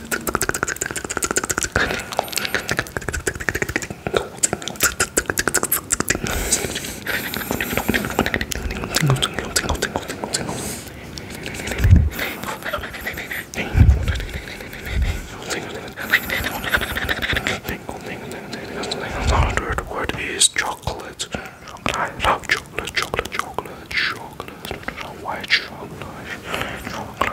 Another word is chocolate. I love chocolate, chocolate, chocolate, chocolate, white chocolate, chocolate.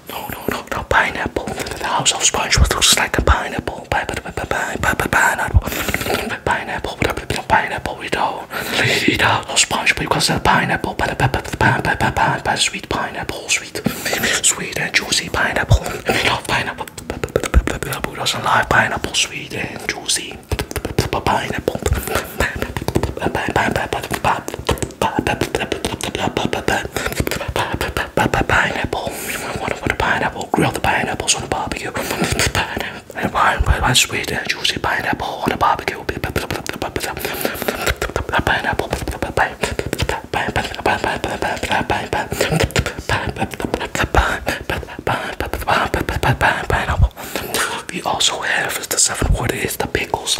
No, no, no, no, pineapple. The house of SpongeBob looks like a pineapple. Pineapple. Pineapple. Pineapple. We don't eat out of SpongeBob because the pineapple. Sweet pineapple. Sweet. Sweet and juicy pineapple. We love pineapple. Who doesn't like pineapple? Sweet and juicy. Pineapple. Pineapple. Pineapple. What a pineapple. Grill the pineapples on a barbecue. And sweet and juicy pineapple on a barbecue. Pineapple. We also have the seventh word is the pickles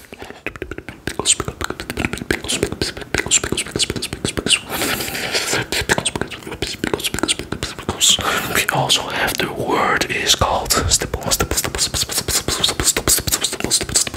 we also have the word is called stipple, stipple, stipple, stipple, stipple, stipple, stipple, stipple, stipple, stipple, stipple, stipple,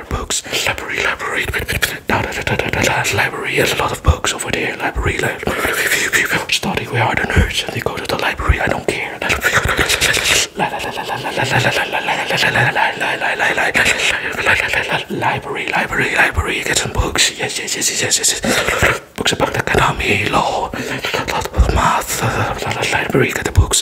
other books. Library, library, da, da, da, da, da, da, da. library. There's a lot of books over there. Library, library. Study, we are the nerds, and they go to the library. I don't care. Library, library, library. Get some books. Yes, yes, yes, yes, yes, yes. Books about economy, law, math. Library, get the books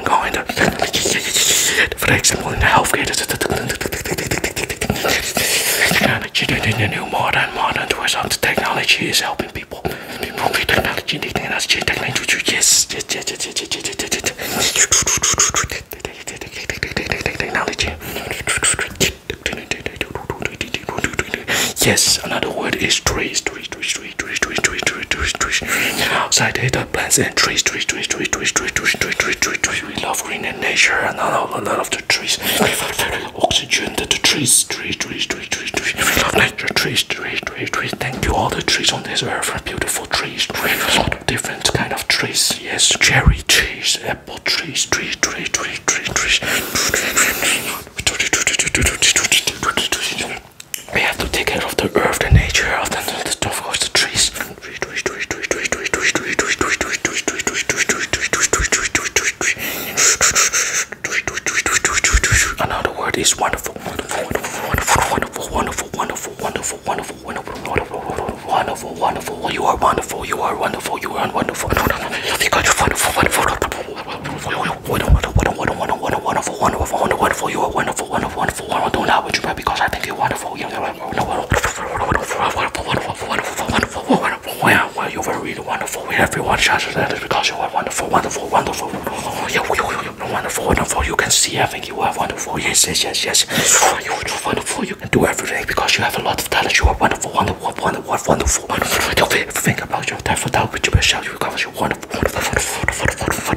going on, for example, in the new modern, modern towards the technology is helping people. technology, yes, another word is trees, trees, trees, trees, trees, trees, trees, twist, twist, twist. Outside data plants and trees, trees, trees, trees, trees, trees, trees, trees, trees, trees, trees. We love green and nature and all, all, all of the trees. Oxygen to the trees, trees, trees, trees, trees, trees. We love nature, trees, trees, trees, trees. Thank you all the trees on this earth are beautiful trees. A lot of different kind of trees. Yes, cherry trees, apple trees, trees, trees, trees, trees, trees we have to take care of the earth, and nature, of the stuff, of the trees. Another word is wonderful, wonderful, wonderful, wonderful, wonderful, wonderful, wonderful, wonderful, wonderful, wonderful, wonderful. You are wonderful. You are wonderful. You are wonderful. You are wonderful. Wonderful. You are wonderful. Wonderful wonderful, wonderful, doing that with you, bro, because I think you're wonderful. You know, wonderful, wonderful, wonderful, wonderful, wonderful. Yeah, well, you're very really wonderful. Everyone shouts that is because you are wonderful, wonderful, wonderful. Yeah, wonderful, wonderful. You can see. I think you are wonderful. Yes, yes, yes, yes. You are wonderful. You can do everything because you have a lot of talent. You are wonderful, wonderful, wonderful, wonderful. Don't think about your time for that, but you yourself. You because you're wonderful, wonderful, wonderful, wonderful.